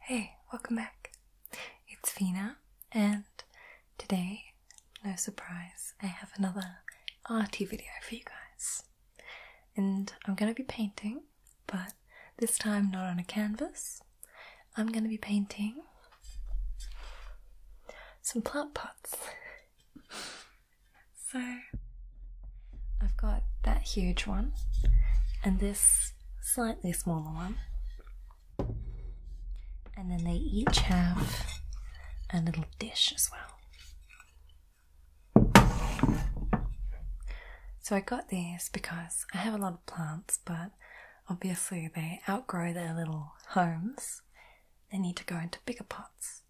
Hey, welcome back. It's Fina, and today, no surprise, I have another arty video for you guys. And I'm going to be painting, but this time not on a canvas. I'm going to be painting some plant pots. So I've got that huge one and this slightly smaller one. And then they each have a little dish as well. So I got these because I have a lot of plants, but obviously they outgrow their little homes. They need to go into bigger pots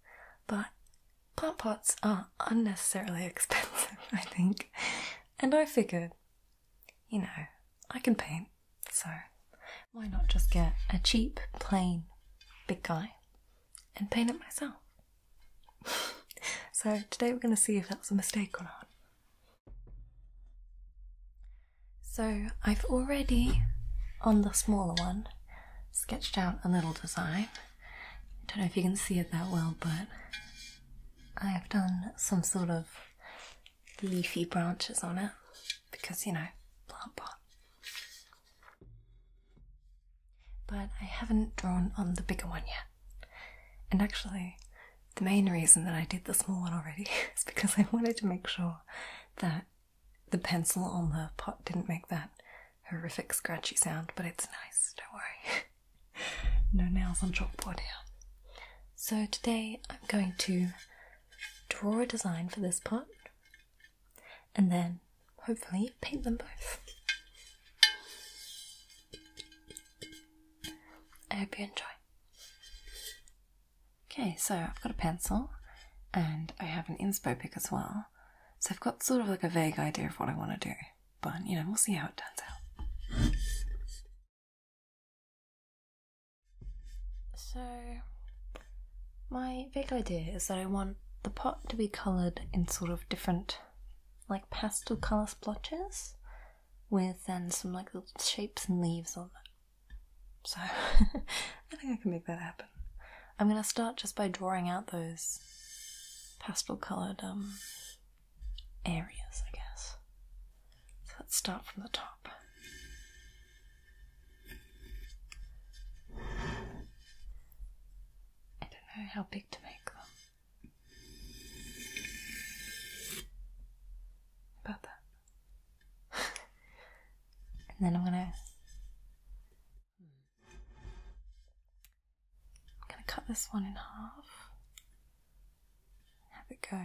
but plant pots are unnecessarily expensive, I think. And I figured, you know, I can paint, so why not just get a cheap, plain, big guy and paint it myself? so today we're going to see if that was a mistake or not. So I've already, on the smaller one, sketched out a little design. I don't know if you can see it that well, but I have done some sort of leafy branches on it because you know, plant pot. But I haven't drawn on the bigger one yet. And actually, the main reason that I did the small one already is because I wanted to make sure that the pencil on the pot didn't make that horrific scratchy sound, but it's nice, don't worry. no nails on chalkboard here. So today I'm going to draw a design for this pot and then hopefully paint them both. I hope you enjoy. Okay, so I've got a pencil and I have an inspo pick as well. So I've got sort of like a vague idea of what I want to do, but you know, we'll see how it turns out. So, my vague idea is that I want the pot to be coloured in sort of different, like pastel colour splotches, with then some like little shapes and leaves on it. So I think I can make that happen. I'm gonna start just by drawing out those pastel coloured um, areas, I guess. So let's start from the top. I don't know how big to make them. About that and then I'm gonna I'm gonna cut this one in half. Have it go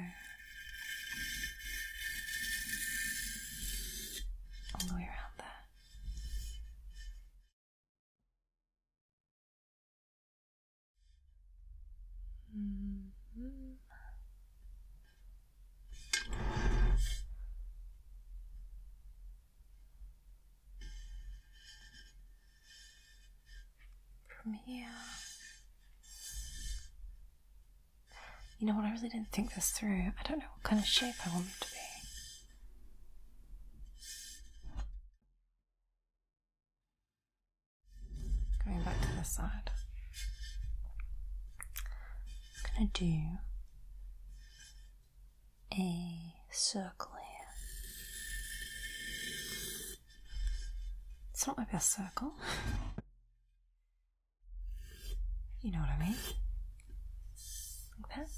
all the way around there. Mm-hmm. From here. You know what? I really didn't think this through. I don't know what kind of shape I want it to be. Going back to this side. I'm going to do a circle here. It's not my best circle. You know what I mean? Like that.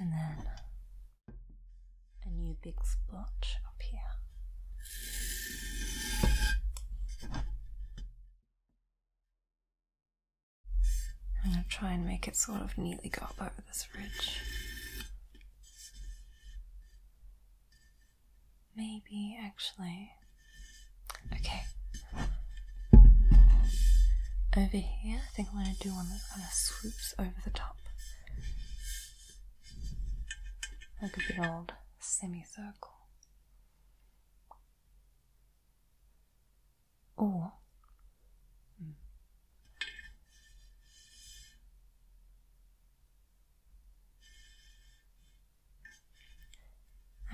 And then a new big splotch up here. I'm going to try and make it sort of neatly go up over this ridge. Maybe, actually. Okay. Over here, I think I'm going to do one that kind of swoops over the top. Like a big old semicircle or hmm.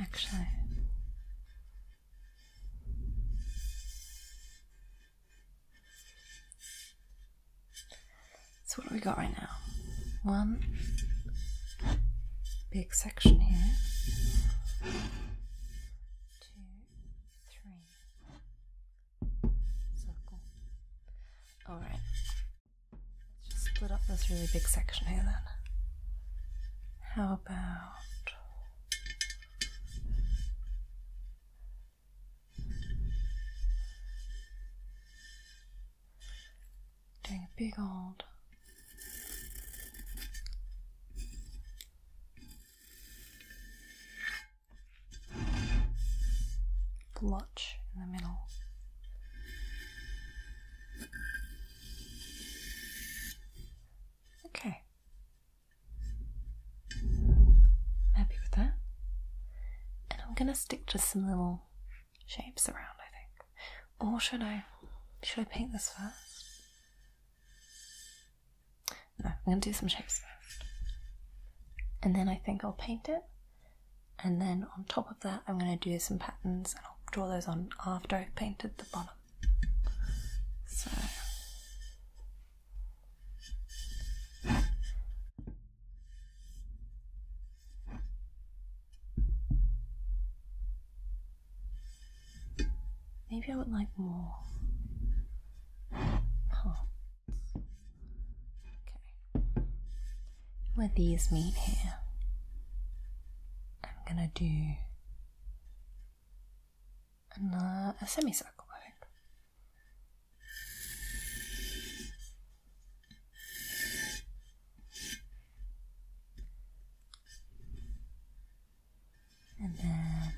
actually so what do we got right now one big section here. Two, three. Circle. Alright. Let's just split up this really big section here then. How about doing a big old blotch in the middle. Okay. happy with that. And I'm gonna stick just some little shapes around, I think. Or should I should I paint this first? No, I'm gonna do some shapes first. And then I think I'll paint it. And then on top of that I'm gonna do some patterns and I'll draw those on after I've painted the bottom. So Maybe I would like more parts. Okay. Where these meet here, I'm gonna do another, a semicircle and then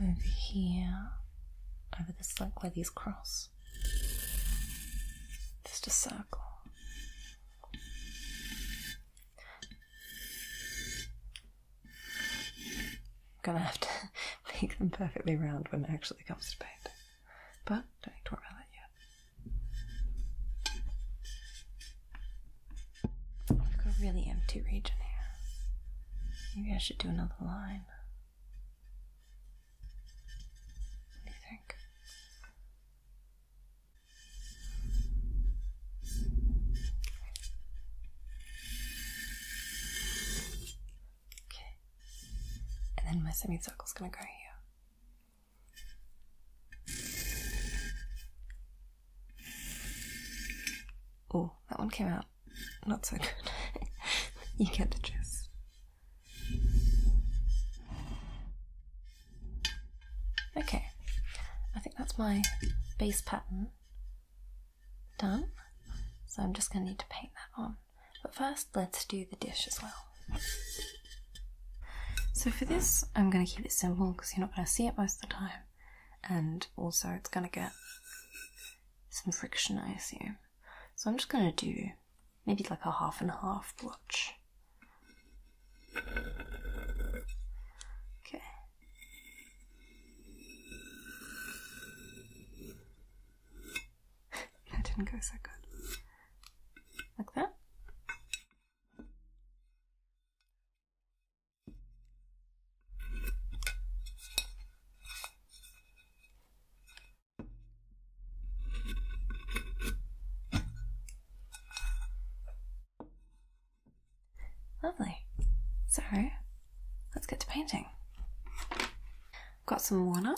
over here, over this like where these cross, just a circle. gonna have to make them perfectly round when it actually comes to painting. But don't worry about that yet. i have got a really empty region here. Maybe I should do another line. What do you think? Okay. And then my semicircle is gonna go here. Oh, that one came out not so good. you get the gist. Okay, I think that's my base pattern done. So I'm just going to need to paint that on. But first, let's do the dish as well. So for this, I'm going to keep it simple because you're not going to see it most of the time. And also, it's going to get some friction, I assume. So I'm just going to do maybe like a half and half blotch. Okay that didn't go so good. Like that. Lovely. So, let's get to painting. Got some water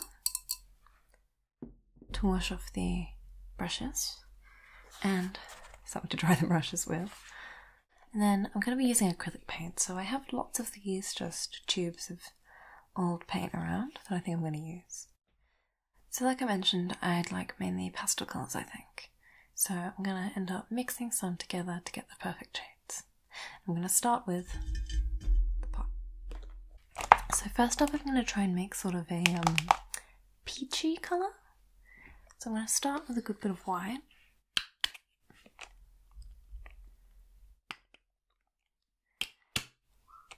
to wash off the brushes and something to dry the brushes with. And then I'm going to be using acrylic paint, so I have lots of these just tubes of old paint around that I think I'm going to use. So, like I mentioned, I'd like mainly pastel colours, I think. So, I'm going to end up mixing some together to get the perfect shades. I'm going to start with the pot. So first up, I'm going to try and make sort of a um, peachy colour. So I'm going to start with a good bit of white.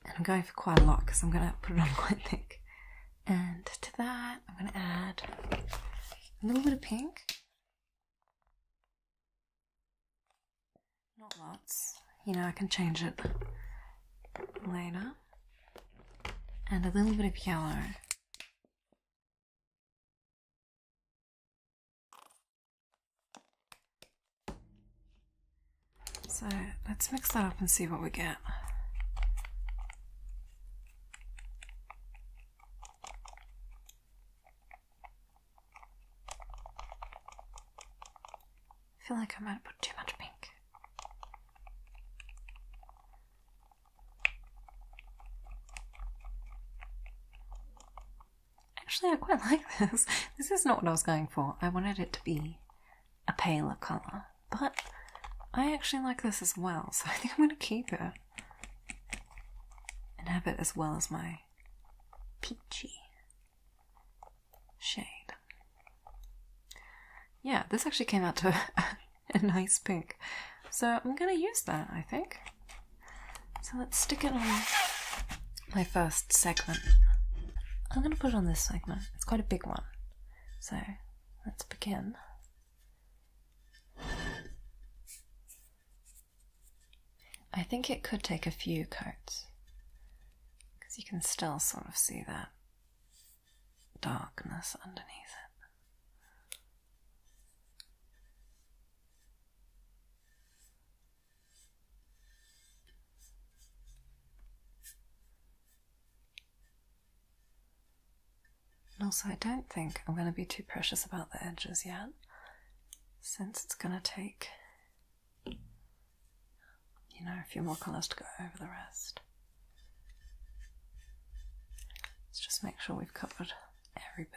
And I'm going for quite a lot because I'm going to put it on quite thick. And to that, I'm going to add a little bit of pink. Not lots. You know, I can change it later. And a little bit of yellow. So let's mix that up and see what we get. I feel like I might have put too much pink. Actually, I quite like this. This is not what I was going for. I wanted it to be a paler colour, but I actually like this as well, so I think I'm going to keep it and have it as well as my peachy shade. Yeah, this actually came out to a nice pink. So I'm gonna use that, I think. So let's stick it on my first segment. I'm gonna put on this segment. It's quite a big one. So let's begin. I think it could take a few coats because you can still sort of see that darkness underneath it. And also, I don't think I'm going to be too precious about the edges yet, since it's going to take you know, a few more colours to go over the rest. Let's just make sure we've covered every bit.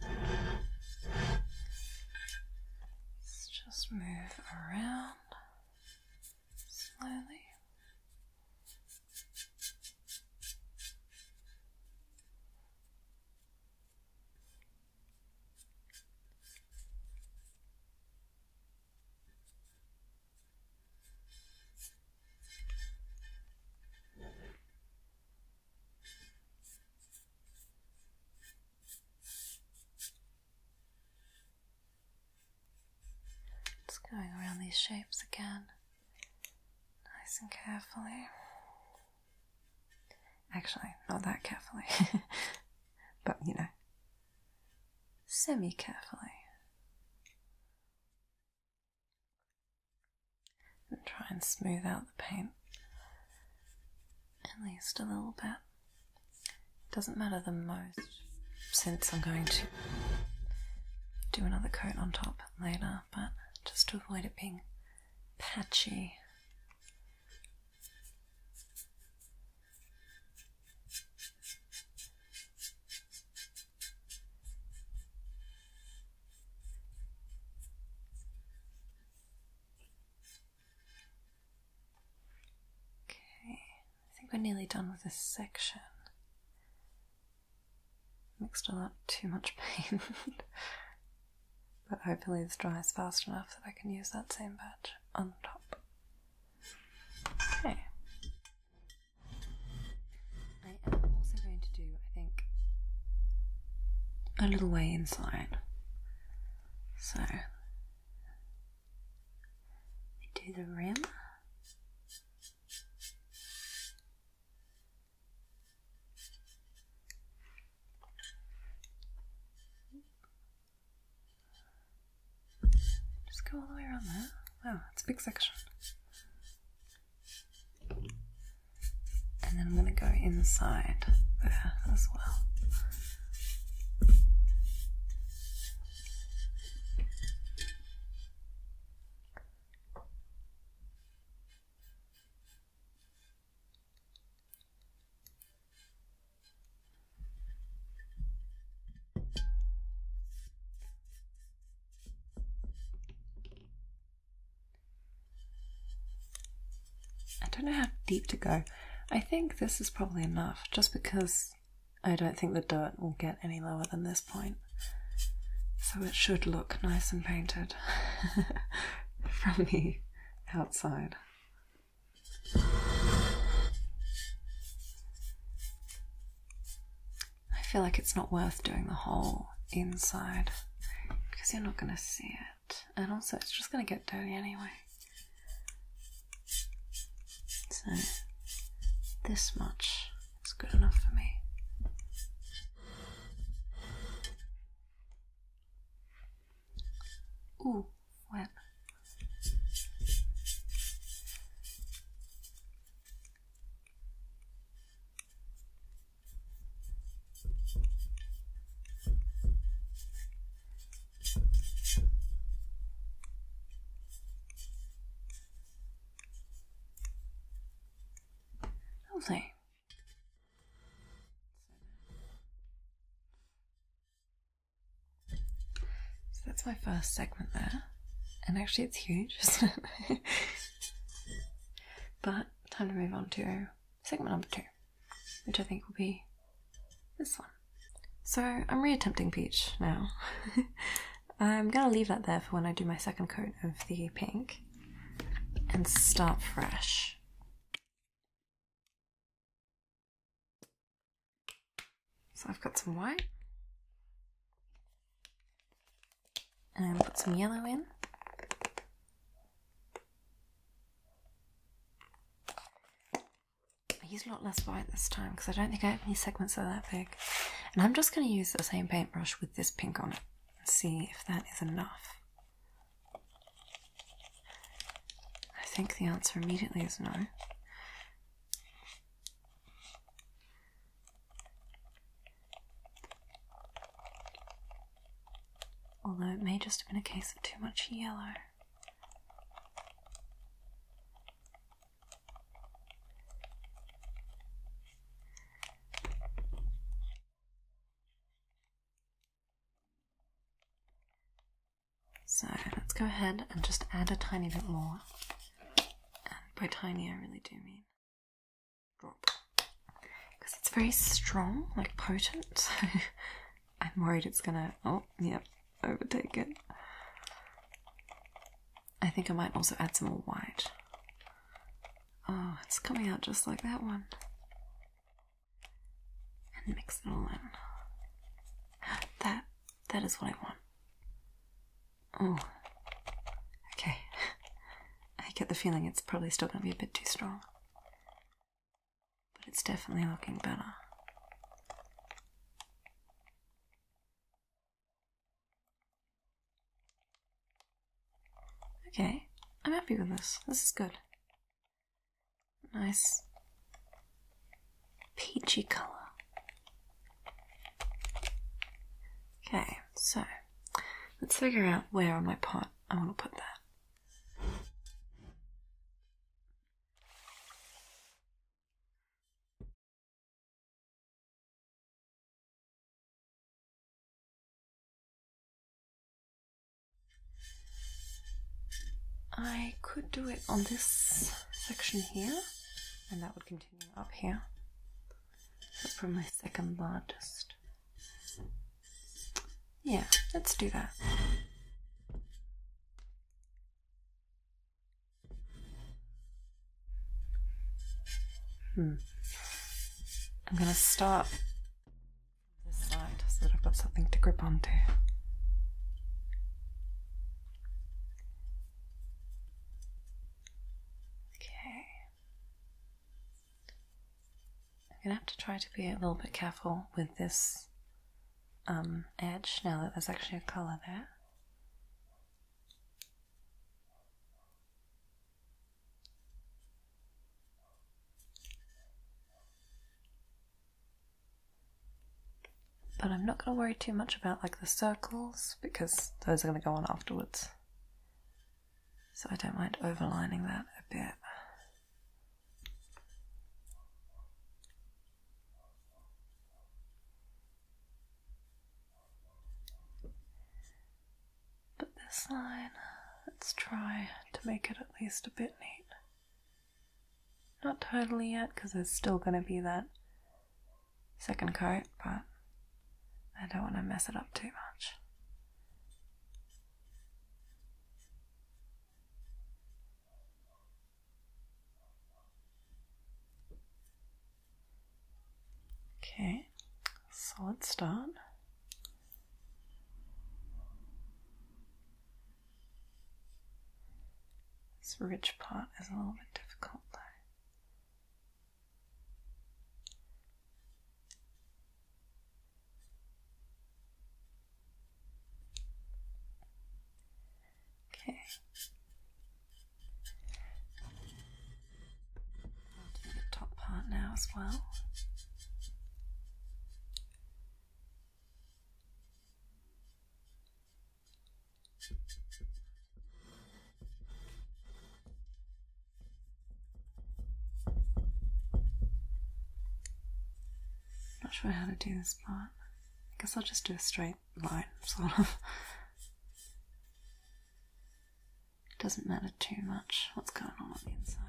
Let's just move around slowly. Just going around these shapes again, nice and carefully. Actually, not that carefully, but you know, semi carefully. And try and smooth out the paint at least a little bit. Doesn't matter the most since I'm going to do another coat on top later, but just to avoid it being patchy. Okay, I think we're nearly done with this section. Mixed all up too much paint, but hopefully this dries fast enough that I can use that same batch on top. Okay. I am also going to do, I think, a little way inside. So do the rim. Just go all the way around there. Oh, it's a big section and then I'm going to go inside there as well. I don't know how deep to go. I think this is probably enough, just because I don't think the dirt will get any lower than this point. So it should look nice and painted from the outside. I feel like it's not worth doing the whole inside because you're not going to see it. And also, it's just going to get dirty anyway. So, this much is good enough for me. Ooh, wet. Lovely. So that's my first segment there. And actually, it's huge, isn't it? but time to move on to segment number two, which I think will be this one. So I'm reattempting peach now. I'm gonna leave that there for when I do my second coat of the pink and start fresh. So I've got some white. And put some yellow in. I used a lot less white this time because I don't think I have any segments that are that big. And I'm just going to use the same paintbrush with this pink on it and see if that is enough. I think the answer immediately is no. Although it may just have been a case of too much yellow. So let's go ahead and just add a tiny bit more. And by tiny, I really do mean drop. Because it's very strong, like potent, I'm worried it's gonna. Oh, yep, overtake it. I think I might also add some more white. Oh, it's coming out just like that one. And mix it all in. That, that is what I want. Oh, okay. I get the feeling it's probably still going to be a bit too strong but it's definitely looking better. Okay, I'm happy with this. This is good. Nice peachy colour. Okay, so let's figure out where on my pot I want to put that. I could do it on this section here, and that would continue up here. That's probably my second largest. Yeah, let's do that. Hmm. I'm going to start this side so that I've got something to grip onto. Okay. I'm gonna have to try to be a little bit careful with this um, edge now that there's actually a color there. but I'm not going to worry too much about like the circles because those are going to go on afterwards. So I don't mind overlining that a bit. But this line, let's try to make it at least a bit neat. Not totally yet, because there's still going to be that second coat, but I don't want to mess it up too much. Okay, so solid start. This rich part is a little bit difficult though. Okay. do the top part now as well. Not sure how to do this part. I guess I'll just do a straight line, sort of. It doesn't matter too much what's going on on the inside.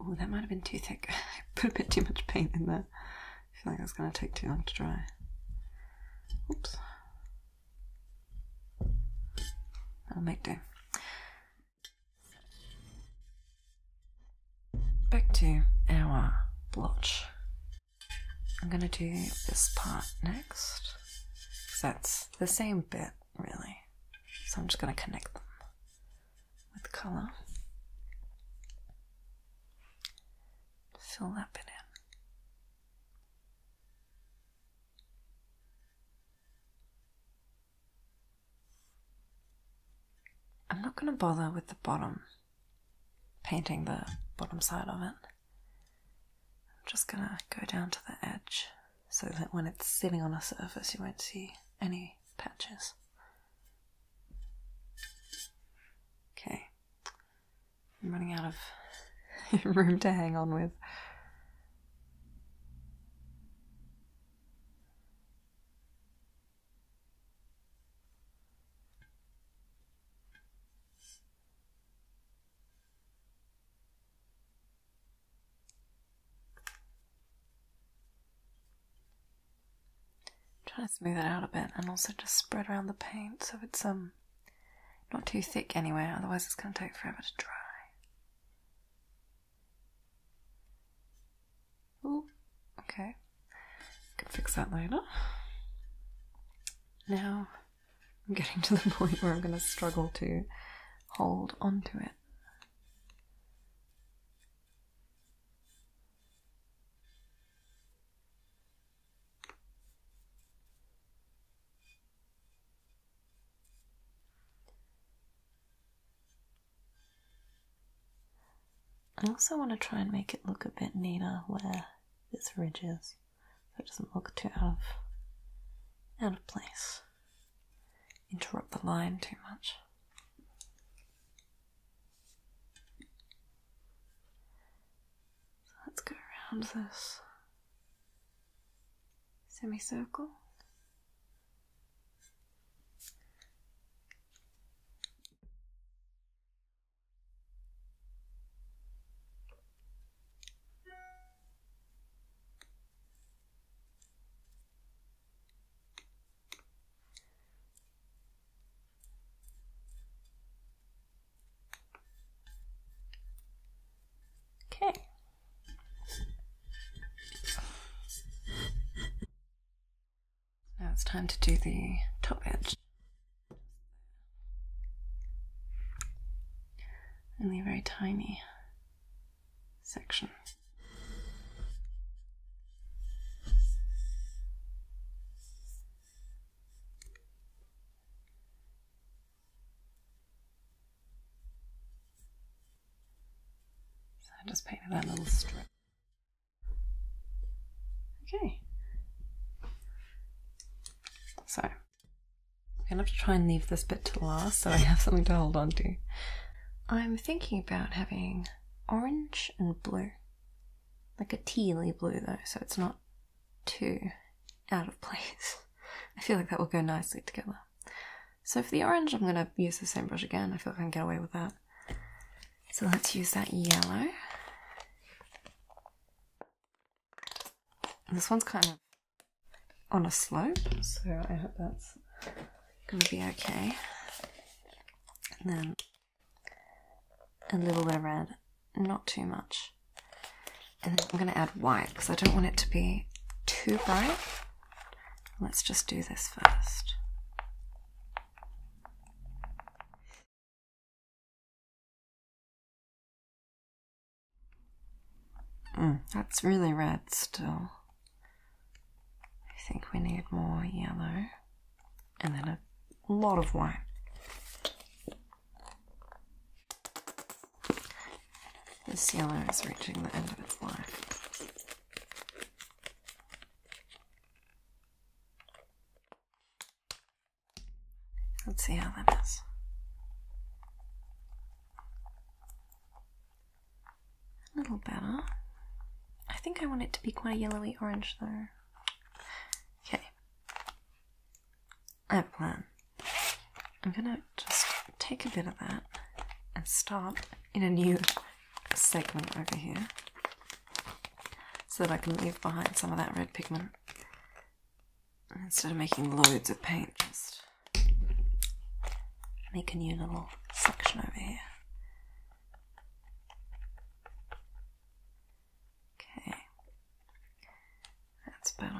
Oh, that might have been too thick. I put a bit too much paint in there. I feel like it's going to take too long to dry. Oops i will make do. Back to our blotch. I'm going to do this part next. Because that's the same bit, really. So I'm just going to connect them with colour. Fill that bit in. I'm not going to bother with the bottom, painting the bottom side of it. I'm just going to go down to the edge so that when it's sitting on a surface you won't see any patches. Okay, I'm running out of room to hang on with. Try to smooth it out a bit and also just spread around the paint so it's um not too thick anywhere, otherwise it's going to take forever to dry. Ooh, okay. Can fix that later. Now I'm getting to the point where I'm going to struggle to hold onto it. I also want to try and make it look a bit neater where this ridge is, so it doesn't look too out of, out of place. Interrupt the line too much. So let's go around this semicircle. Okay. Now it's time to do the top edge. Only a very tiny section. So I just painted that little strip. Okay. So I'm gonna have to try and leave this bit to last so I have something to hold on to. I'm thinking about having orange and blue. Like a tealy blue though, so it's not Two, out of place. I feel like that will go nicely together. So for the orange, I'm going to use the same brush again. I feel like I can get away with that. So let's use that yellow. this one's kind of on a slope, so I hope that's going to be okay. And then a little bit of red not too much. And then I'm going to add white because I don't want it to be too bright. Let's just do this first. Mm, that's really red still. I think we need more yellow and then a lot of white. This yellow is reaching the end of its life. Let's see how that is. A little better. I think I want it to be quite a yellowy orange though. Okay. I have a plan. I'm gonna just take a bit of that and start in a new segment over here so that I can leave behind some of that red pigment instead of making loads of paint just make a new little section over here okay that's better.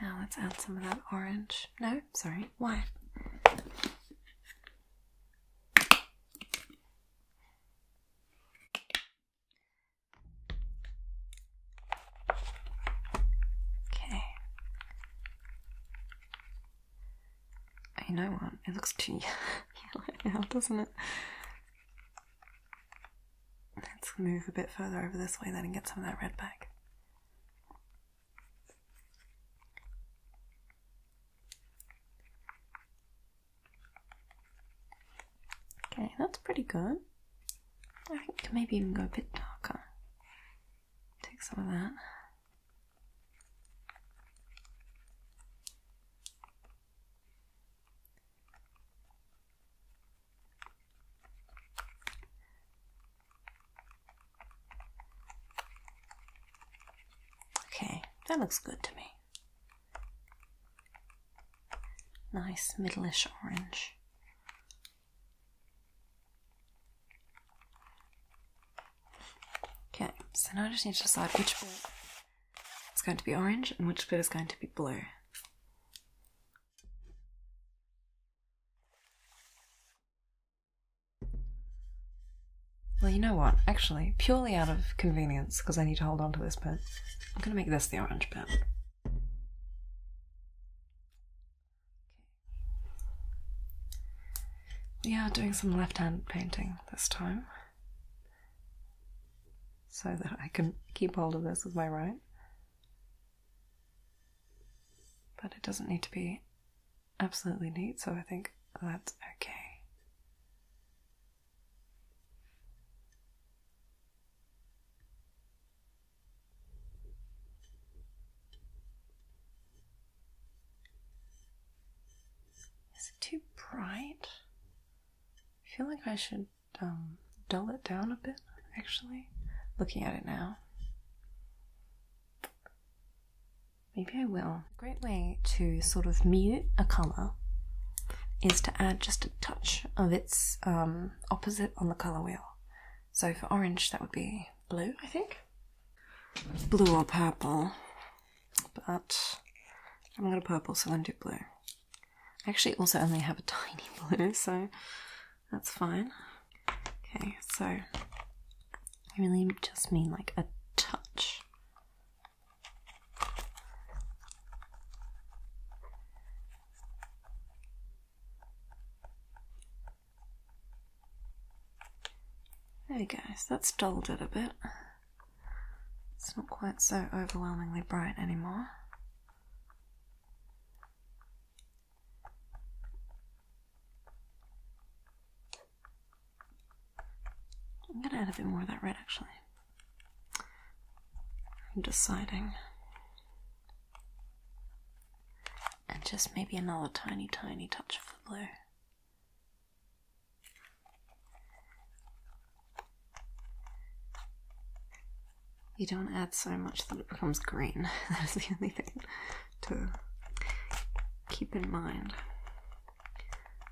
Now let's add some of that orange. No, sorry, white. Okay. you know what? It looks too yellow now, doesn't it? Let's move a bit further over this way then and get some of that red back. Okay, that's pretty good. I think we can maybe even go a bit darker. Take some of that. Okay, that looks good to me. Nice middle-ish orange. Okay, so now I just need to decide which bit is going to be orange and which bit is going to be blue. Well, you know what? Actually, purely out of convenience, because I need to hold on to this pen, I'm going to make this the orange pen. Okay. We are doing some left-hand painting this time, so that I can keep hold of this with my right. But it doesn't need to be absolutely neat, so I think that's okay. Is it too bright? I feel like I should um, dull it down a bit, actually. Looking at it now. Maybe I will. A great way to sort of mute a colour is to add just a touch of its um, opposite on the colour wheel. So for orange, that would be blue, I think. Blue or purple. But I'm going to purple, so I'm going to do blue. I actually also only have a tiny blue, so that's fine. Okay, so I really just mean like a touch. There you go, so that's dulled it a bit. It's not quite so overwhelmingly bright anymore. I'm going to add a bit more of that red actually. I'm deciding. And just maybe another tiny, tiny touch of the blue. You don't add so much that it becomes green. that is the only thing to keep in mind.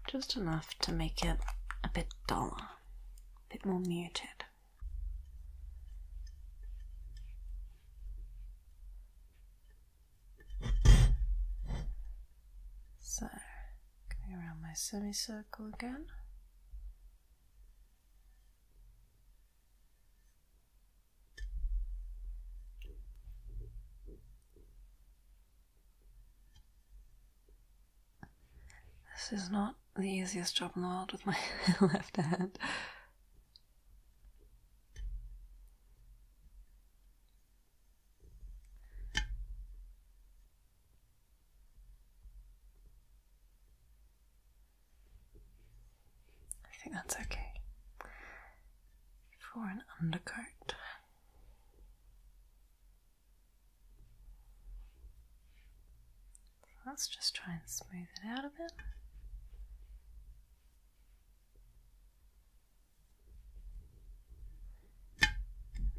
Just enough to make it a bit duller, a bit more muted. So, going around my semicircle again. This is not the easiest job in the world with my left hand. I think that's okay for an undercoat. Let's just try and smooth it out a bit.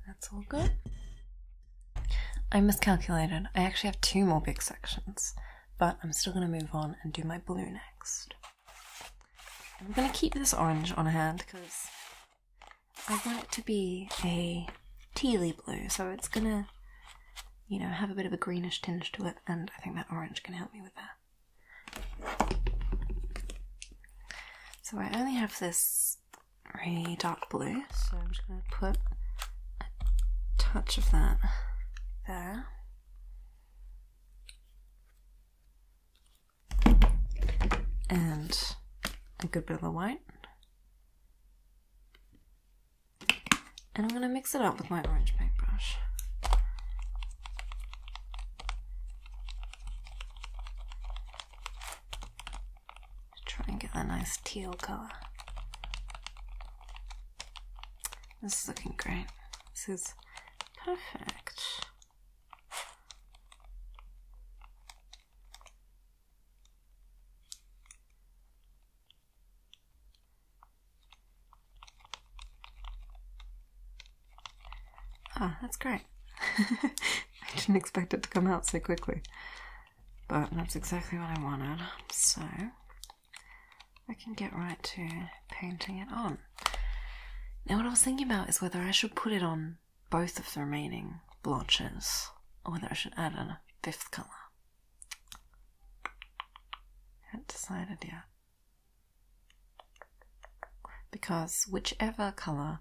That's all good. I miscalculated. I actually have two more big sections but I'm still going to move on and do my blue next. I'm going to keep this orange on hand because I want it to be a tealy blue, so it's going to, you know, have a bit of a greenish tinge to it, and I think that orange can help me with that. So I only have this really dark blue, so I'm just going to put a touch of that there. And a good bit of the white. And I'm going to mix it up with my orange paintbrush. Try and get that nice teal colour. This is looking great. This is perfect. Ah, that's great. I didn't expect it to come out so quickly. But that's exactly what I wanted, so I can get right to painting it on. Now, what I was thinking about is whether I should put it on both of the remaining blotches or whether I should add a fifth colour. Haven't decided yet. Because whichever colour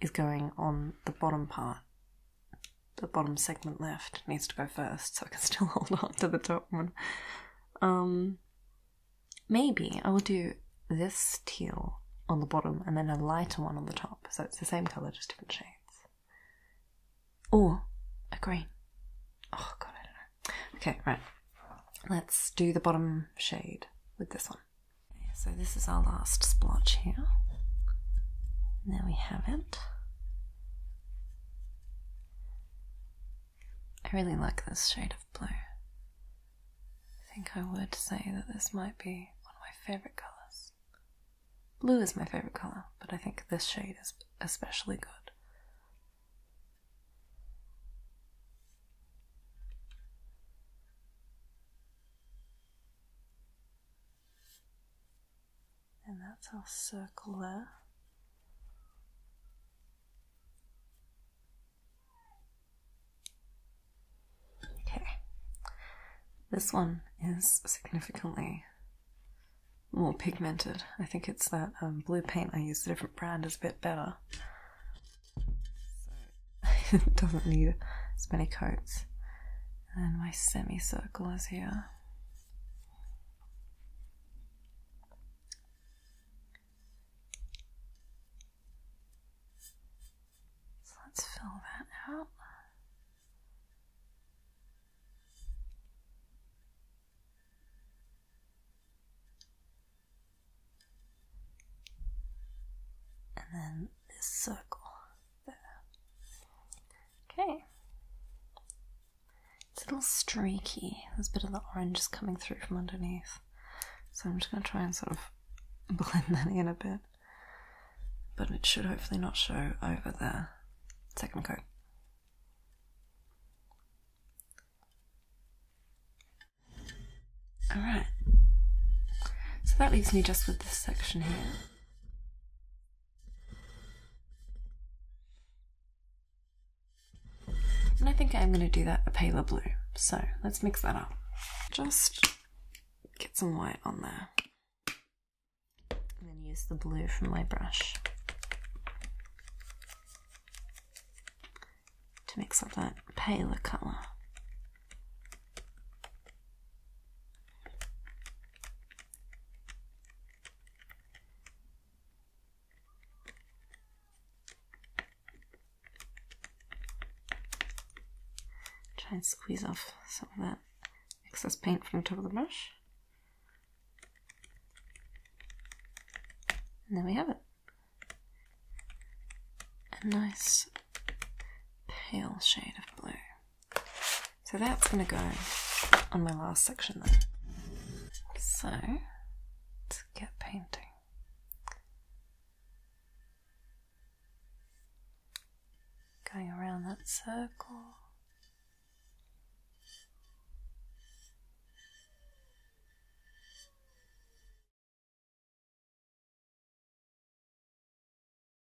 is going on the bottom part the bottom segment left needs to go first, so I can still hold on to the top one. Um, maybe I will do this teal on the bottom and then a lighter one on the top, so it's the same colour, just different shades. Or a green. Oh god, I don't know. Okay, right. Let's do the bottom shade with this one. so this is our last splotch here. there we have it. I really like this shade of blue. I think I would say that this might be one of my favourite colours. Blue is my favourite colour, but I think this shade is especially good and that's our circle there. Okay, this one is significantly more pigmented. I think it's that um, blue paint I use. a different brand, is a bit better. it doesn't need as many coats. And my semicircle is here. So let's fill that out. And then this circle there. Okay. It's a little streaky. There's a bit of the orange just coming through from underneath. So I'm just going to try and sort of blend that in a bit. But it should hopefully not show over the second coat. Alright. So that leaves me just with this section here. And I think I'm going to do that a paler blue. So let's mix that up. Just get some white on there. And then use the blue from my brush. To mix up that paler colour. Try and squeeze off some of that excess paint from the top of the brush. And there we have it. A nice pale shade of blue. So that's going to go on my last section there. So let's get painting. Going around that circle.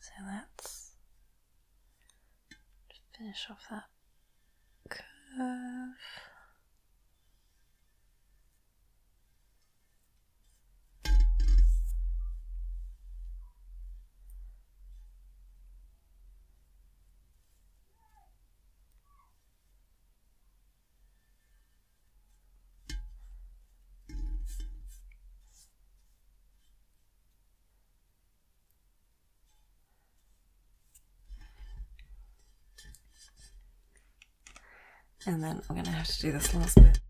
So that's just finish off that curve. And then I'm going to have to do this last bit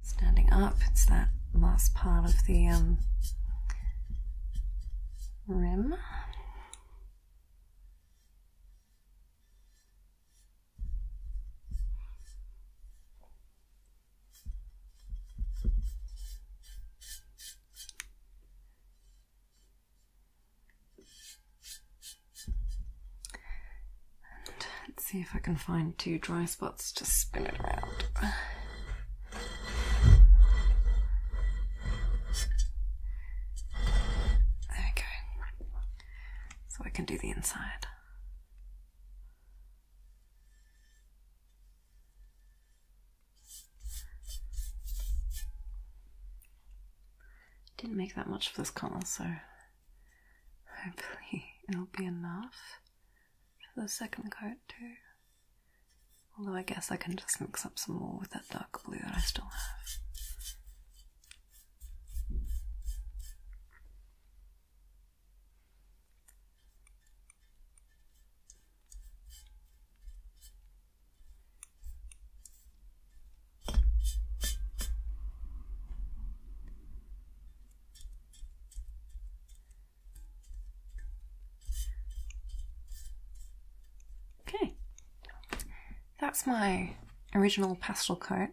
standing up. It's that last part of the um, rim let's see if I can find two dry spots to spin it around. There we go. So I can do the inside. Didn't make that much of this color, so hopefully it'll be enough for the second coat too. Although I guess I can just mix up some more with that dark blue that I still have. Okay, that's my original pastel coat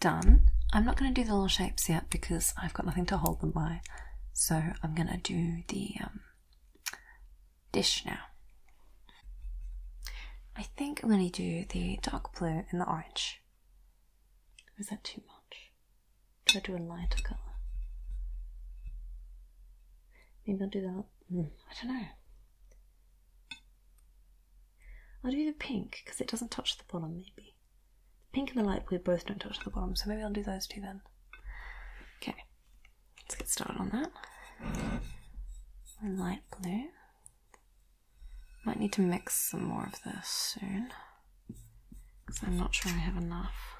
done. I'm not going to do the little shapes yet because I've got nothing to hold them by. So I'm going to do the um, dish now. I think I'm going to do the dark blue and the orange. Is that too much? Do to do a lighter colour? Maybe I'll do that Hmm. I don't know. I'll do the pink because it doesn't touch the bottom, maybe. The pink and the light blue both don't touch the bottom, so maybe I'll do those too. then. Okay, let's get started on that. light blue. Might need to mix some more of this soon because I'm not sure I have enough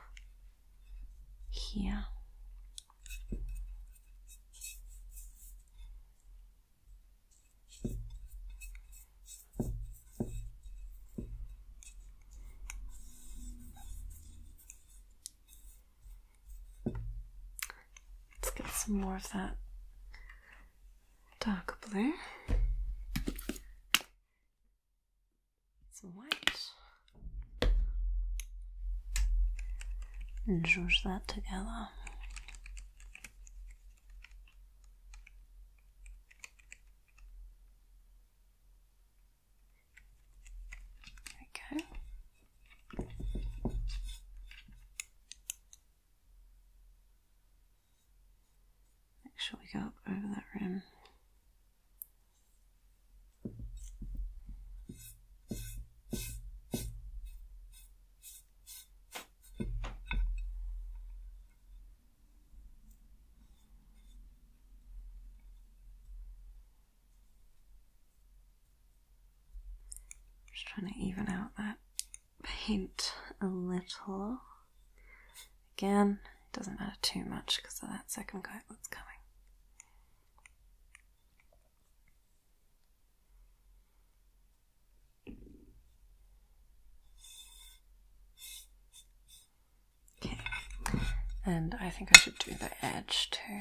here. Let's get some more of that dark blue. Some white and zhuzh that together. Okay. Make sure we go up over that rim. Just trying to even out that paint a little. Again, it doesn't matter too much because of that second coat that's coming. Okay, and I think I should do the edge too.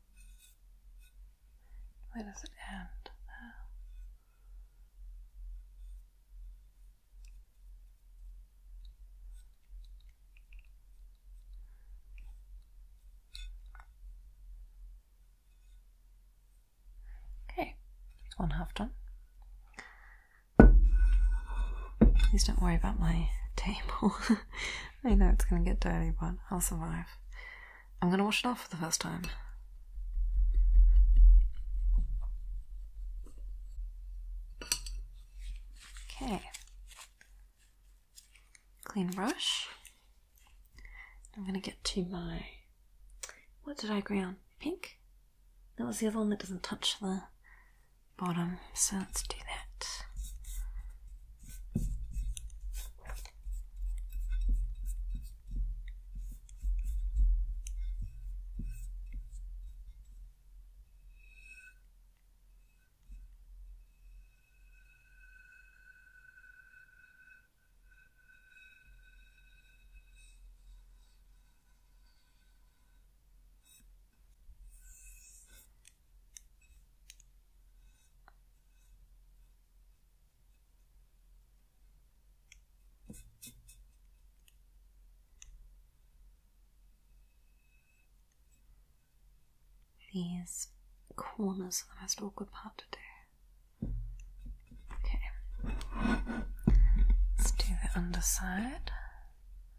Where does it end? There. Okay, one half done. Please don't worry about my table. I know it's going to get dirty, but I'll survive. I'm going to wash it off for the first time. Okay. Clean brush. I'm going to get to my. What did I agree on? Pink? That was the other one that doesn't touch the bottom, so let's do that. These corners are the most awkward part to do. Okay, let's do the underside.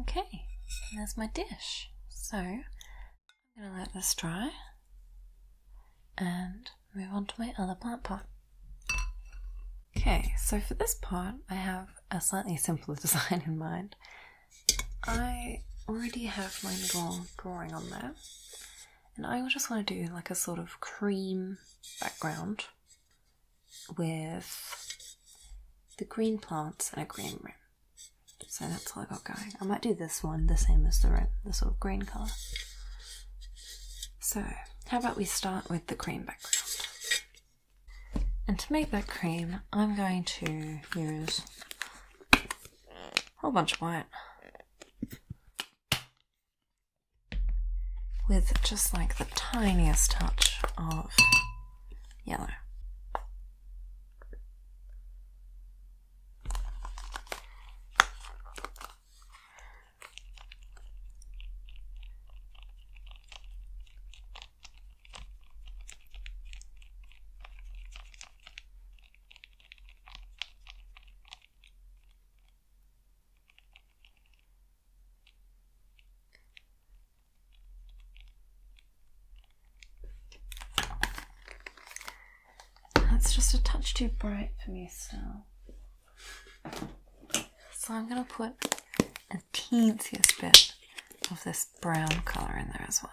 Okay, there's my dish. So I'm going to let this dry and move on to my other plant pot. Okay, so for this part, I have a slightly simpler design in mind. I already have my little drawing on there, and I just want to do like a sort of cream background with the green plants and a green rim. So that's all I got going. I might do this one the same as the rim, the sort of green colour. So, how about we start with the cream background? And to make that cream, I'm going to use whole bunch of white. With just like the tiniest touch of yellow. That's just a touch too bright for me still. So I'm going to put a teensiest bit of this brown colour in there as well.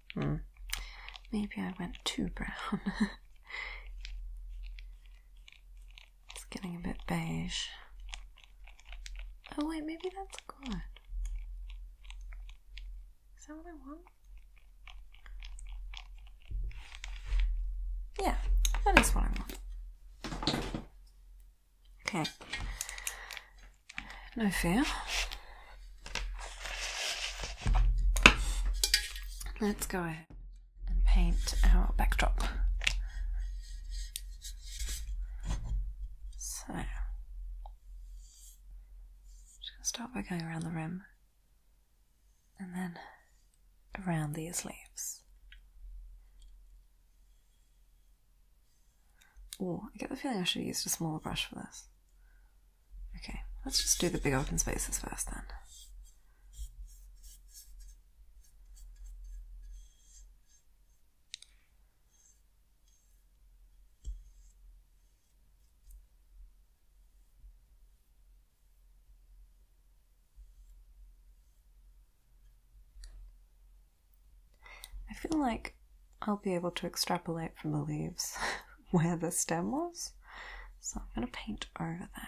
Hmm. Maybe I went too brown. it's getting a bit beige. Oh wait, maybe that's good. Is that what I want? Yeah, that is what I want. Okay. No fear. Let's go ahead and paint our backdrop. So, I'm just going to start by going around the rim and then around these leaves. Oh, I get the feeling I should have used a smaller brush for this. Okay, let's just do the big open spaces first then. I feel like I'll be able to extrapolate from the leaves where the stem was. So I'm going to paint over that.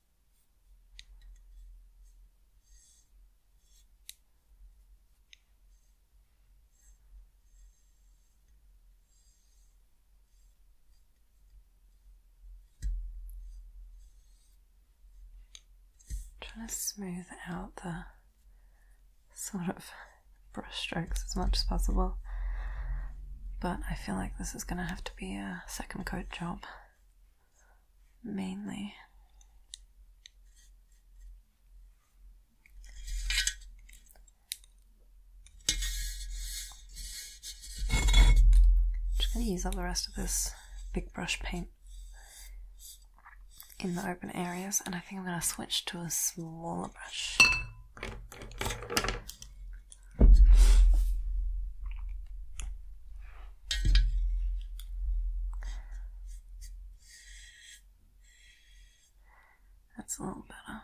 Trying to smooth out the sort of brushstrokes as much as possible, but I feel like this is going to have to be a second coat job mainly. I'm just going to use up the rest of this big brush paint in the open areas and I think I'm going to switch to a smaller brush. That's a little better.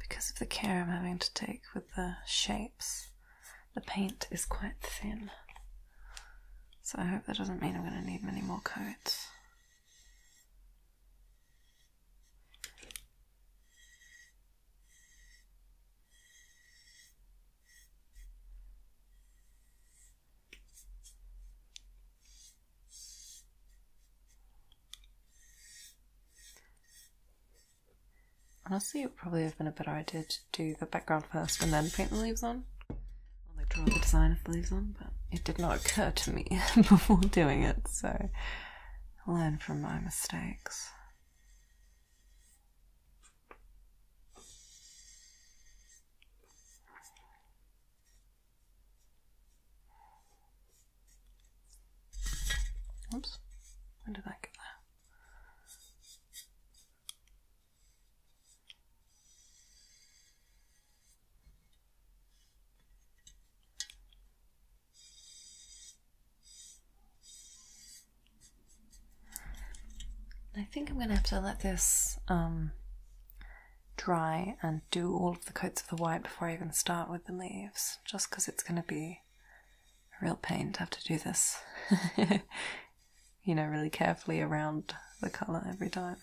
Because of the care I'm having to take with the shapes, the paint is quite thin. So I hope that doesn't mean I'm going to need many more coats. Honestly, it would probably have been a better idea to do the background first and then paint the leaves on. i draw the design of the leaves on, but it did not occur to me before doing it, so learn from my mistakes. Oops, when did I get that? I think I'm going to have to let this um, dry and do all the coats of the white before I even start with the leaves, just because it's going to be a real pain to have to do this, you know, really carefully around the colour every time.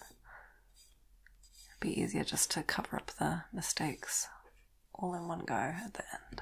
It'd be easier just to cover up the mistakes all in one go at the end.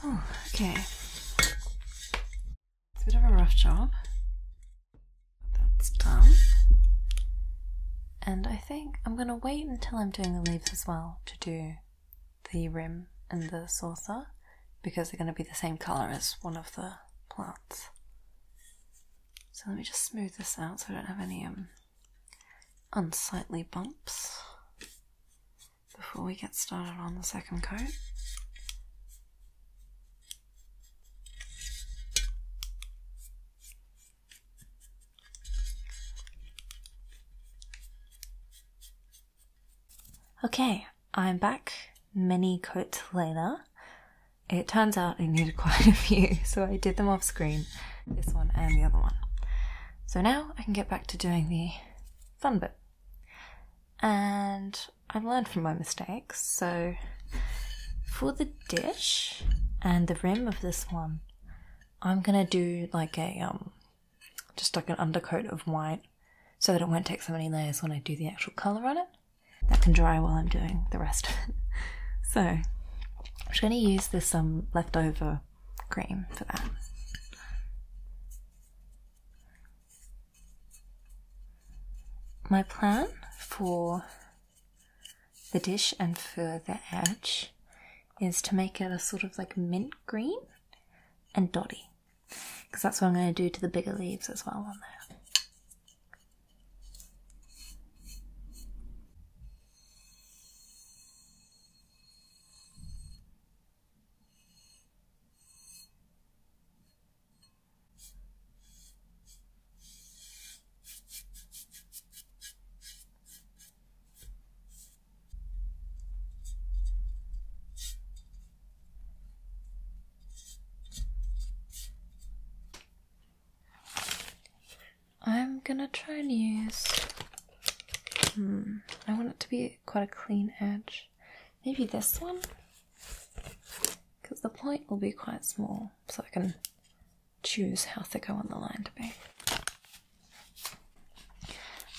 Oh, okay. It's a bit of a rough job. that's done. And I think I'm going to wait until I'm doing the leaves as well to do the rim and the saucer because they're going to be the same colour as one of the plants. So let me just smooth this out so I don't have any um, unsightly bumps before we get started on the second coat. Okay, I'm back mini coat later. It turns out I needed quite a few, so I did them off screen, this one and the other one. So now I can get back to doing the fun bit. And I've learned from my mistakes, so for the dish and the rim of this one, I'm gonna do like a um just like an undercoat of white so that it won't take so many layers when I do the actual colour on it. That can dry while I'm doing the rest of it. So I'm just going to use this some um, leftover green for that. My plan for the dish and for the edge is to make it a sort of like mint green and dotty. Because that's what I'm going to do to the bigger leaves as well on there. I'm gonna try and use. Hmm, I want it to be quite a clean edge. Maybe this one? Because the point will be quite small, so I can choose how thick I want the line to be.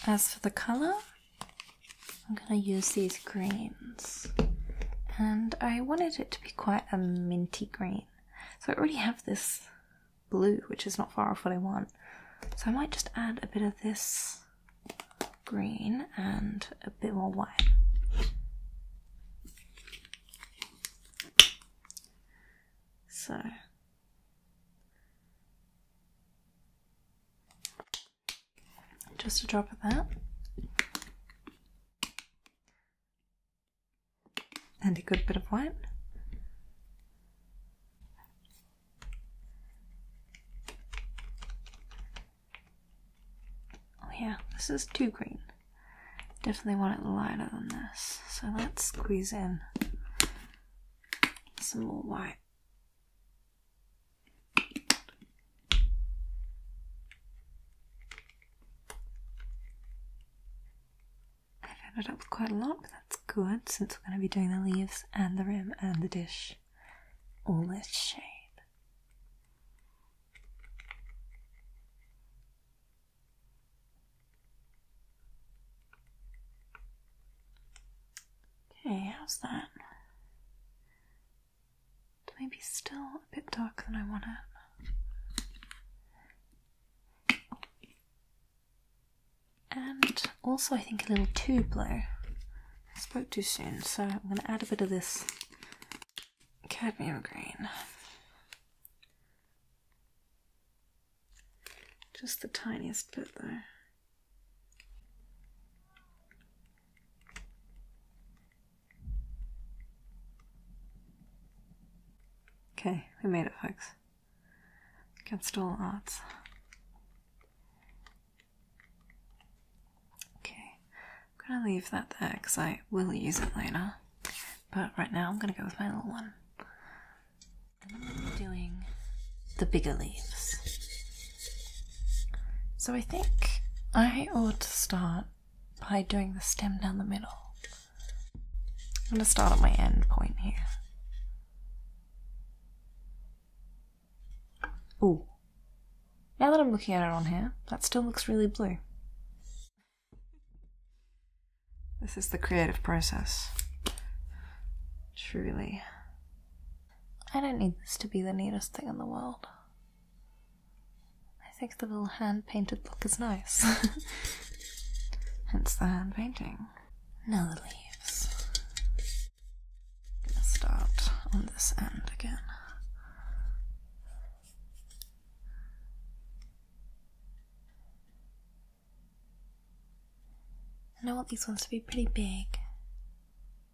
As for the colour, I'm gonna use these greens, and I wanted it to be quite a minty green, so I already have this blue, which is not far off what I want. So I might just add a bit of this green and a bit more white. So just a drop of that. And a good bit of white. Oh, yeah, this is too green. Definitely want it lighter than this. So let's squeeze in some more white. I've ended up with quite a lot, but that's good since we're going to be doing the leaves and the rim and the dish all this shape. Okay, how's that? It may be still a bit darker than I want it. And also, I think a little too blue. spoke too soon, so I'm going to add a bit of this cadmium green. Just the tiniest bit, though. Okay, we made it, folks. Against all odds. Okay, I'm gonna leave that there because I will use it later. But right now, I'm gonna go with my little one. doing the bigger leaves. So I think I ought to start by doing the stem down the middle. I'm going to start at my end point here. Ooh. Now that I'm looking at it on here, that still looks really blue. This is the creative process. Truly. I don't need this to be the neatest thing in the world. I think the little hand painted look is nice. Hence the hand painting. Now the leaves. gonna start on this end again. And I want these ones to be pretty big.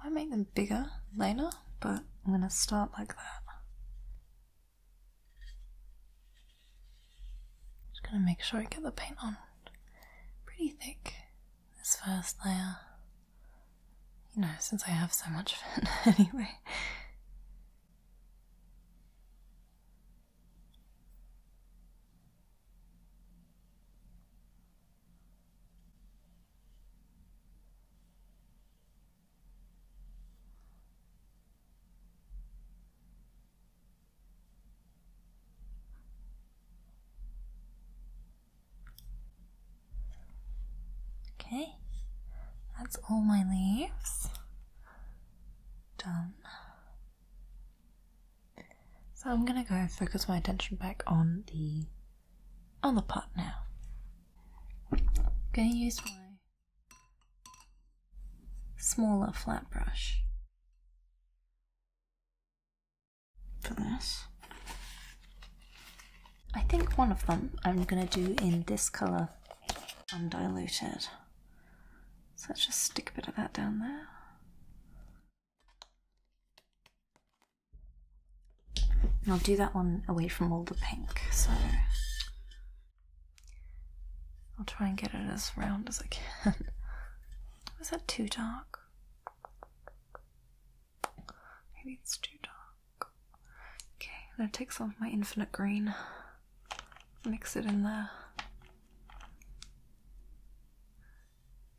I make them bigger later, but I'm going to start like that. Just going to make sure I get the paint on pretty thick, this first layer. You know, since I have so much fun anyway. Okay, that's all my leaves done. So I'm gonna go and focus my attention back on the other part now. I'm gonna use my smaller flat brush for this. I think one of them I'm gonna do in this colour undiluted so let's just stick a bit of that down there. I'll do that one away from all the pink, so I'll try and get it as round as I can. Is that too dark? Maybe it's too dark. Okay, I'm gonna take some of my infinite green mix it in there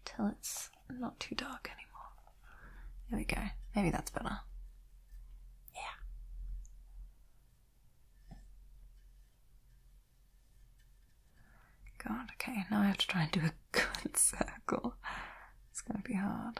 till it's not too dark anymore. There we go. Maybe that's better. Yeah. God, okay, now I have to try and do a good circle. It's gonna be hard.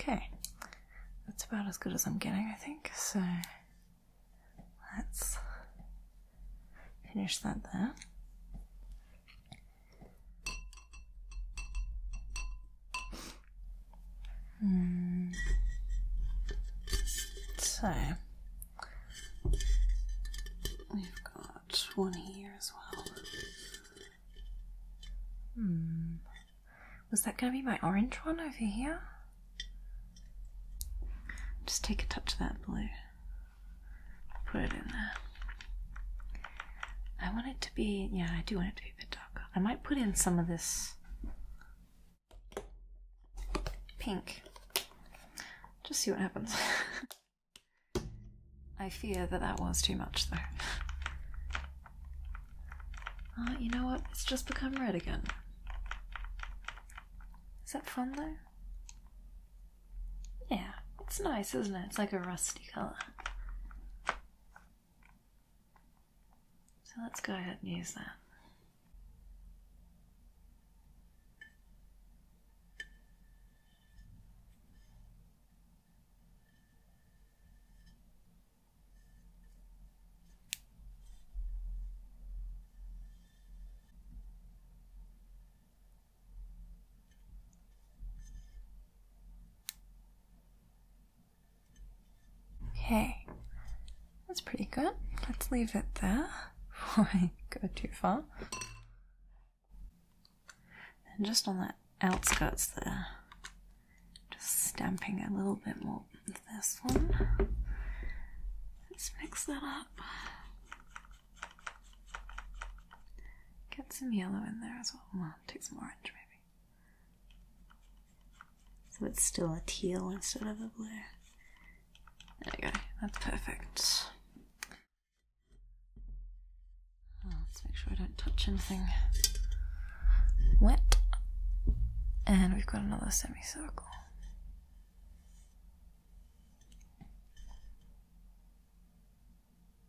Okay, that's about as good as I'm getting, I think. So let's finish that there. Mm. So we've got one here as well. Hmm. Was that going to be my orange one over here? Just take a touch of that blue. Put it in there. I want it to be, yeah, I do want it to be a bit darker. I might put in some of this pink. Just see what happens. I fear that that was too much though. Ah, you know what? It's just become red again. Is that fun though? Yeah, it's nice, isn't it? It's like a rusty colour. So let's go ahead and use that. Okay, that's pretty good. Let's leave it there before I go too far. And just on that outskirts there, just stamping a little bit more with this one. Let's mix that up. Get some yellow in there as well. take some orange maybe. So it's still a teal instead of a blue. There we go. That's perfect. Oh, let's make sure I don't touch anything wet. And we've got another semicircle.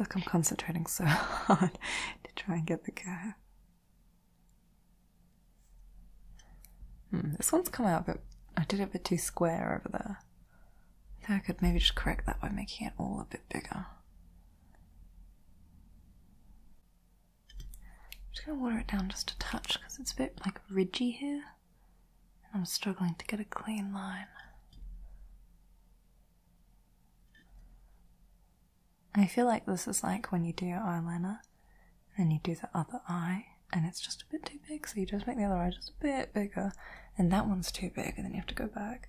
I feel like I'm concentrating so hard to try and get the curve. Hmm, this one's come out, but I did it a bit too square over there. I think I could maybe just correct that by making it all a bit bigger. I'm just gonna water it down just a touch because it's a bit like ridgy here. And I'm struggling to get a clean line. I feel like this is like when you do your eyeliner and you do the other eye and it's just a bit too big, so you just make the other eye just a bit bigger, and that one's too big, and then you have to go back.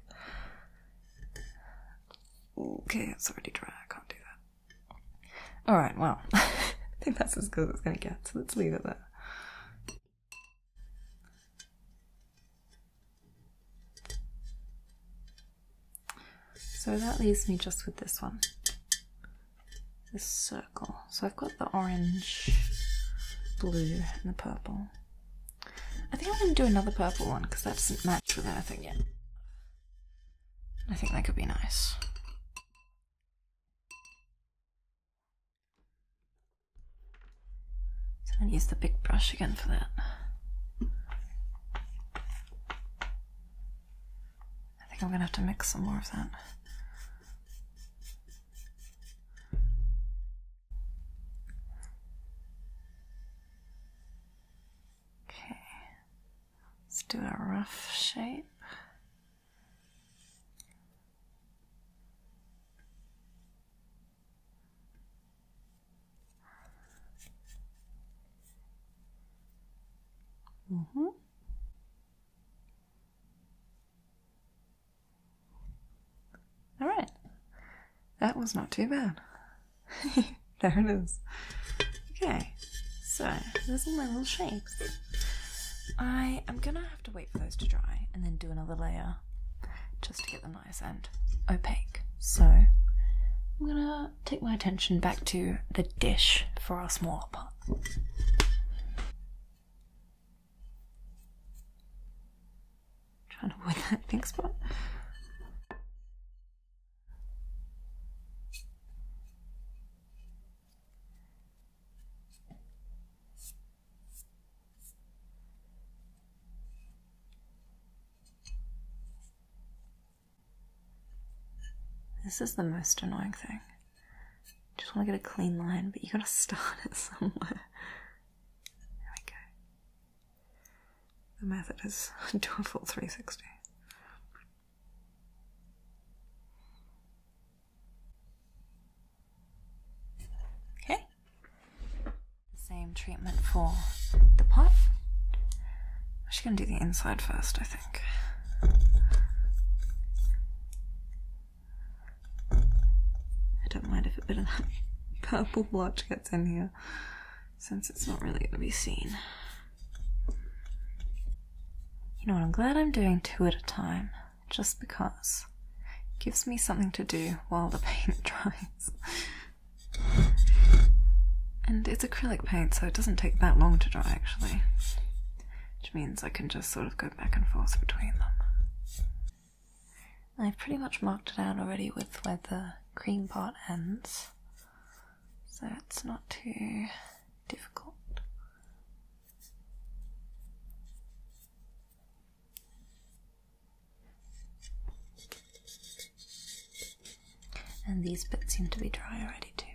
Okay, it's already dry. I can't do that. Alright, well, I think that's as good as it's going to get, so let's leave it there. So that leaves me just with this one this circle. So I've got the orange, blue, and the purple. I think I'm going to do another purple one because that doesn't match with anything yet. I think that could be nice. So I'm going to use the big brush again for that. I think I'm going to have to mix some more of that. Okay, let's do a rough shape. Mm-hmm. right. That was not too bad. there it is. Okay, so those are my little shapes. I am gonna have to wait for those to dry and then do another layer just to get them nice and opaque. So I'm gonna take my attention back to the dish for our smaller pot. Trying to avoid that pink spot. This is the most annoying thing. Just want to get a clean line, but you gotta start it somewhere. There we go the method is do a full 360. Okay. Same treatment for the pot. I'm just going to do the inside first, I think. I don't mind if a bit of that purple blotch gets in here since it's not really going to be seen. You know what, I'm glad I'm doing two at a time, just because. It gives me something to do while the paint dries. and it's acrylic paint, so it doesn't take that long to dry actually. Which means I can just sort of go back and forth between them. I've pretty much marked it out already with where the cream part ends so it's not too difficult. And these bits seem to be dry already, too.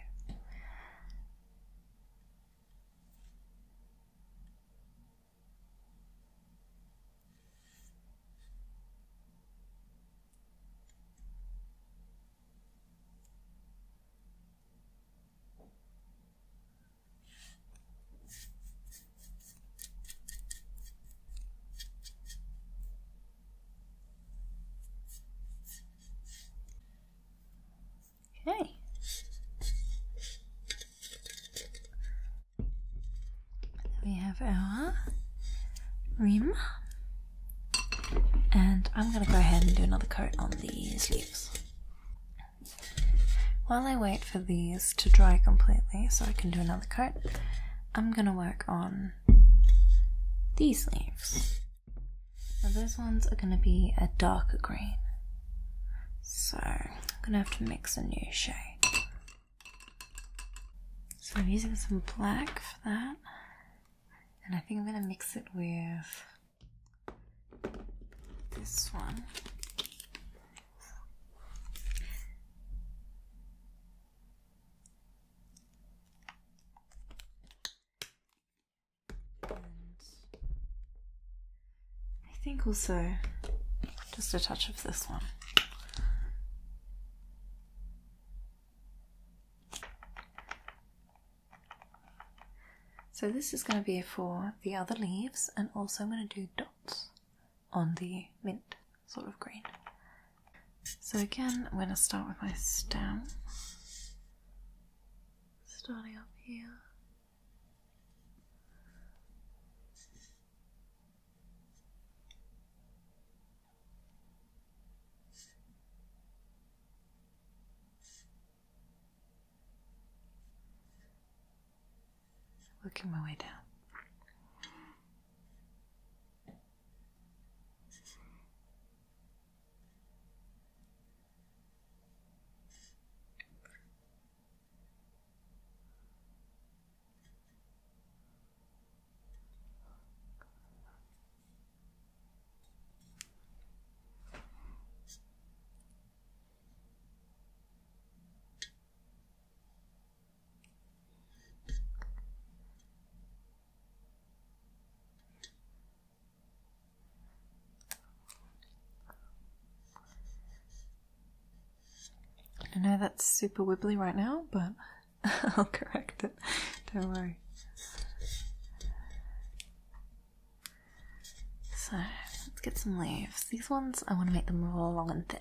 Okay. we have our rim and I'm gonna go ahead and do another coat on these leaves. While I wait for these to dry completely so I can do another coat, I'm gonna work on these leaves. Now those ones are gonna be a darker green. So I'm gonna have to mix a new shade. So I'm using some black for that. And I think I'm going to mix it with this one. I think also just a touch of this one. So this is going to be for the other leaves and also I'm going to do dots on the mint sort of green. So again, I'm going to start with my stem. Starting up here. Looking my way down. I know that's super wibbly right now, but I'll correct it. Don't worry. So let's get some leaves. These ones I want to make them all long and thin.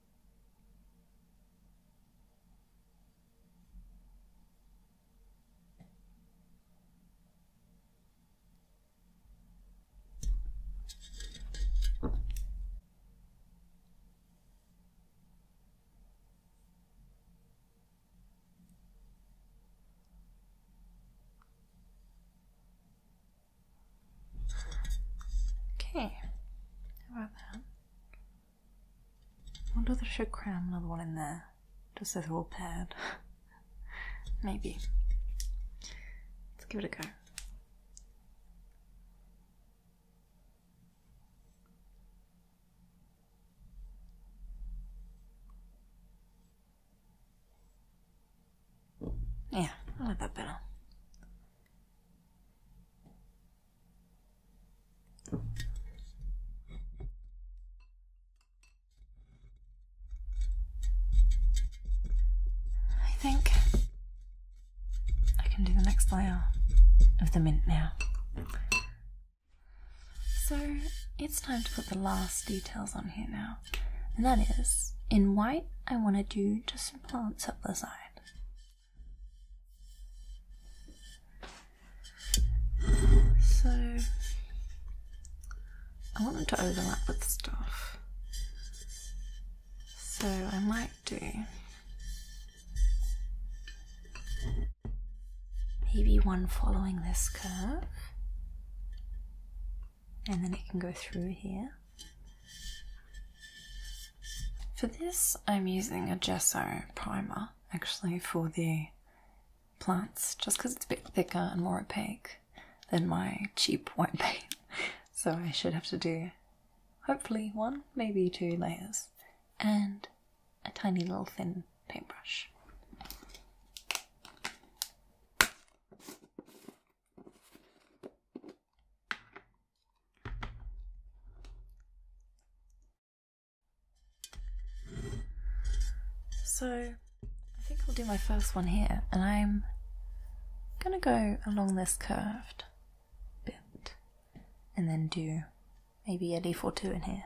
Okay, how about that? I wonder if I should cram another one in there, just so they're all paired. Maybe. Let's give it a go. Yeah, I like that better. I think I can do the next layer of the mint now. So it's time to put the last details on here now, and that is in white, I want to do just some plants up the side. So I want them to overlap with stuff. So I might do maybe one following this curve and then it can go through here for this, I'm using a gesso primer actually for the plants just because it's a bit thicker and more opaque than my cheap white paint. So I should have to do hopefully one, maybe two layers and a tiny little thin paintbrush. So I think I'll do my first one here and I'm going to go along this curved bit and then do maybe a leaf or two in here.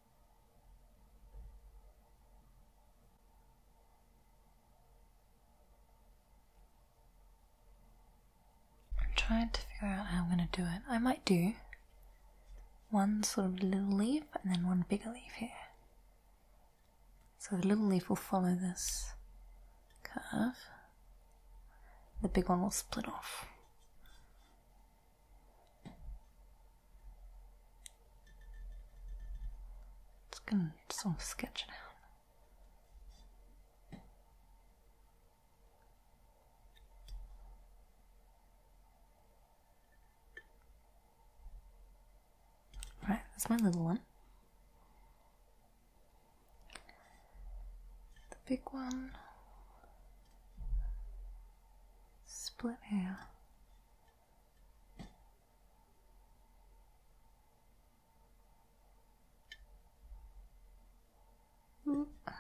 I'm trying to figure out how I'm going to do it. I might do one sort of little leaf and then one bigger leaf here. So the little leaf will follow this curve. The big one will split off. It's gonna just sort of sketch it out. Right, that's my little one. The big one split here. Mm, ah,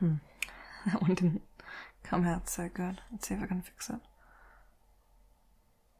Hmm. That one didn't come out so good. Let's see if I can fix it.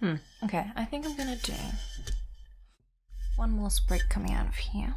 Hmm. Okay, I think I'm gonna do one more sprig coming out of here.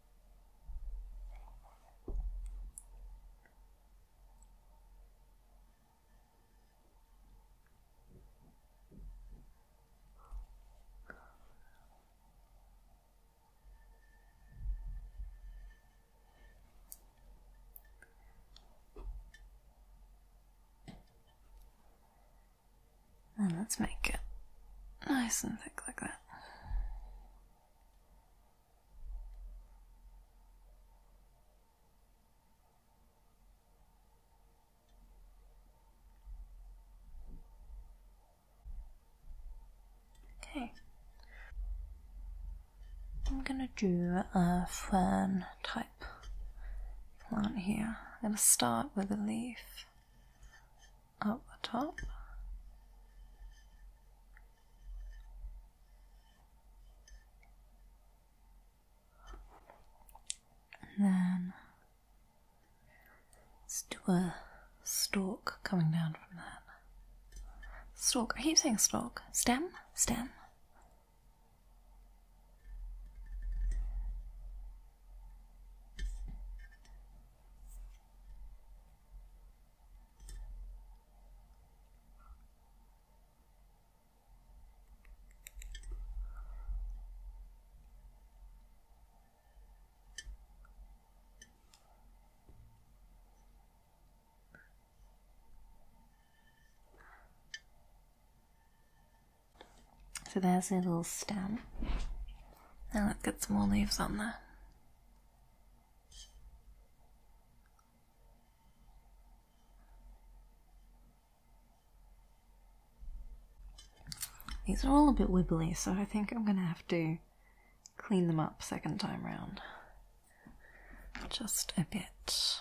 And let's make it nice and thick like that. Okay. I'm gonna do a fern type plant here. I'm gonna start with a leaf up the top and then let's do a stalk coming down from that. Stalk, I keep saying stalk. Stem? Stem? So there's a little stem. Now let's get some more leaves on there. These are all a bit wibbly, so I think I'm going to have to clean them up second time round. Just a bit.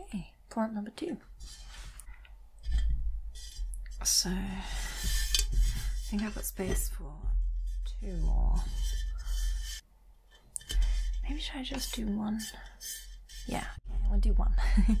Okay, plant number two. So I think I've got space for two more. Maybe should I just do one? Yeah, we'll do one.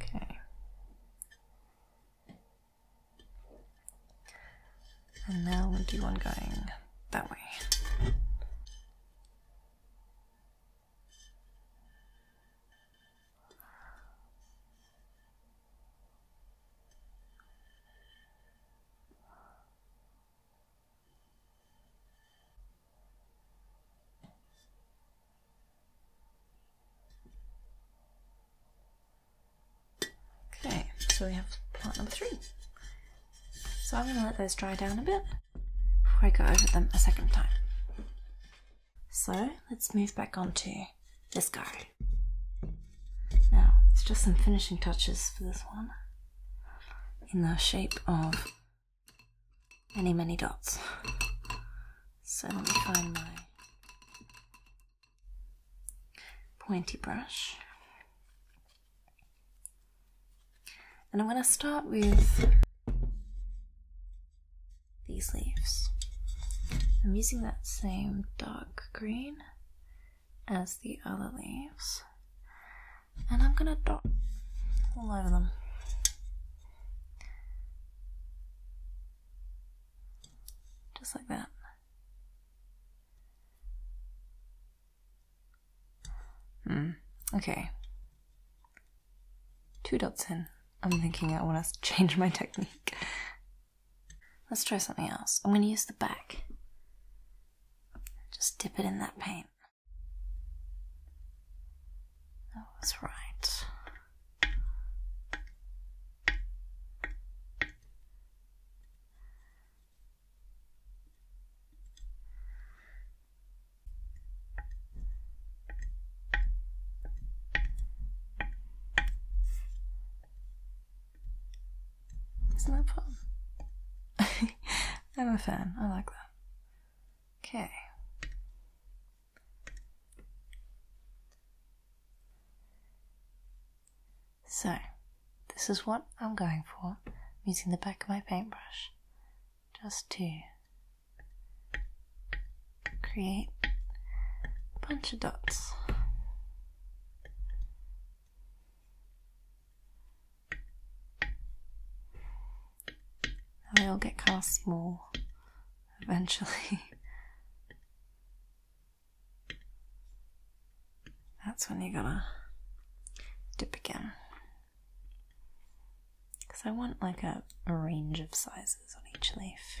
Okay. And now we'll do one going that way. Okay, so we have plant number three. So I'm going to let those dry down a bit before I go over them a second time. So let's move back onto this guy. Now, it's just some finishing touches for this one in the shape of many, many dots. So let me find my pointy brush. And I'm going to start with these leaves. I'm using that same dark green as the other leaves. And I'm going to dot all over them. Just like that. Hmm. Okay. Two dots in. I'm thinking I want to change my technique. Let's try something else. I'm going to use the back. Just dip it in that paint. That was right. Isn't that fun? I'm a fan, I like that. Okay. So, this is what I'm going for. I'm using the back of my paintbrush just to create a bunch of dots. They all get kind of small eventually. That's when you gotta dip again. Because I want like a, a range of sizes on each leaf.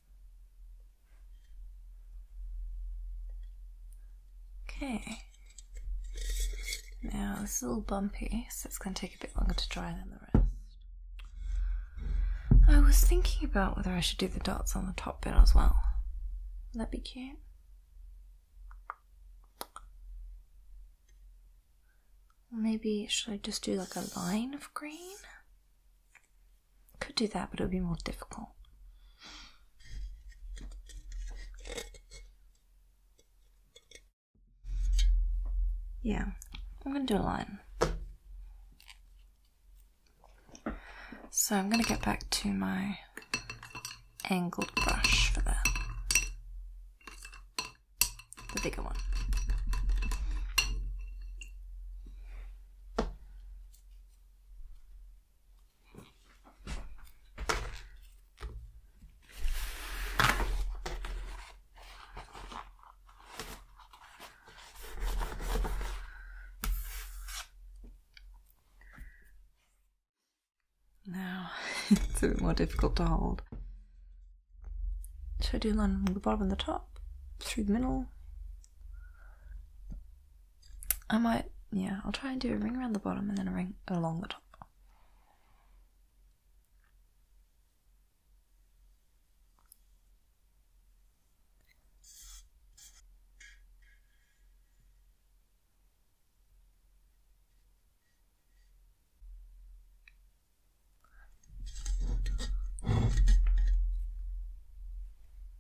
Okay. Now this is a little bumpy, so it's going to take a bit longer to dry than the rest. I was thinking about whether I should do the dots on the top bit as well. Would that be cute? Maybe should I just do like a line of green? Could do that, but it would be more difficult. Yeah, I'm going to do a line. So I'm going to get back to my angled brush for that. The bigger one. Now it's a bit more difficult to hold. So I do line from the bottom and the top, through the middle, I might, yeah, I'll try and do a ring around the bottom and then a ring along the top.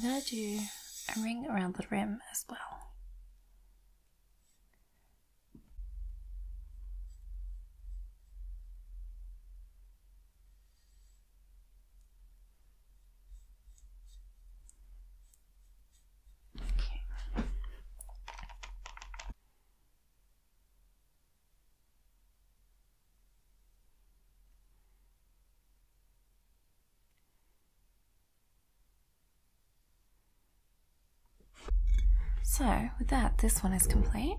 I'm going to do a ring around the rim as well. Okay. So with that, this one is complete.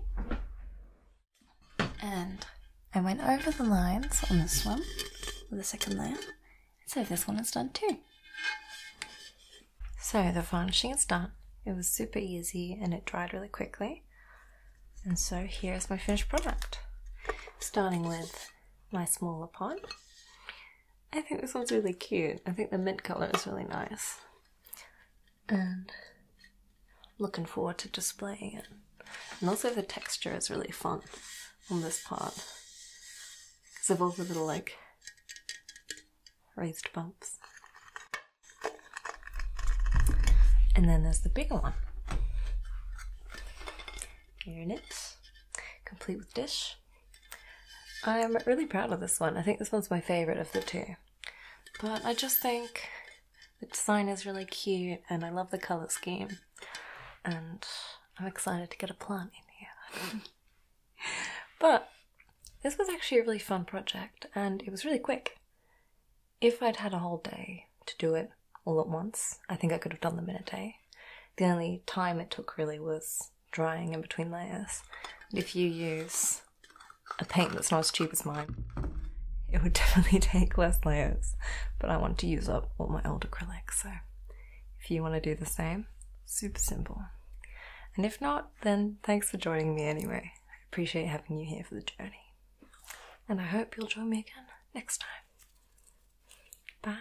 And I went over the lines on this one, with the second layer, so this one is done too. So the varnishing is done. It was super easy and it dried really quickly. And so here's my finished product. Starting with my smaller pot. I think this one's really cute. I think the mint colour is really nice. And looking forward to displaying it. And also the texture is really fun on this part. Because of all the little like raised bumps, And then there's the bigger one. Here in it, complete with dish. I am really proud of this one. I think this one's my favourite of the two. But I just think the design is really cute and I love the colour scheme. And I'm excited to get a plant in here. but this was actually a really fun project and it was really quick. If I'd had a whole day to do it all at once, I think I could have done them in a day. The only time it took really was drying in between layers. if you use a paint that's not as cheap as mine, it would definitely take less layers. But I want to use up all my old acrylics, so if you want to do the same, super simple. And if not, then thanks for joining me anyway. I appreciate having you here for the journey. And I hope you'll join me again next time. Bye.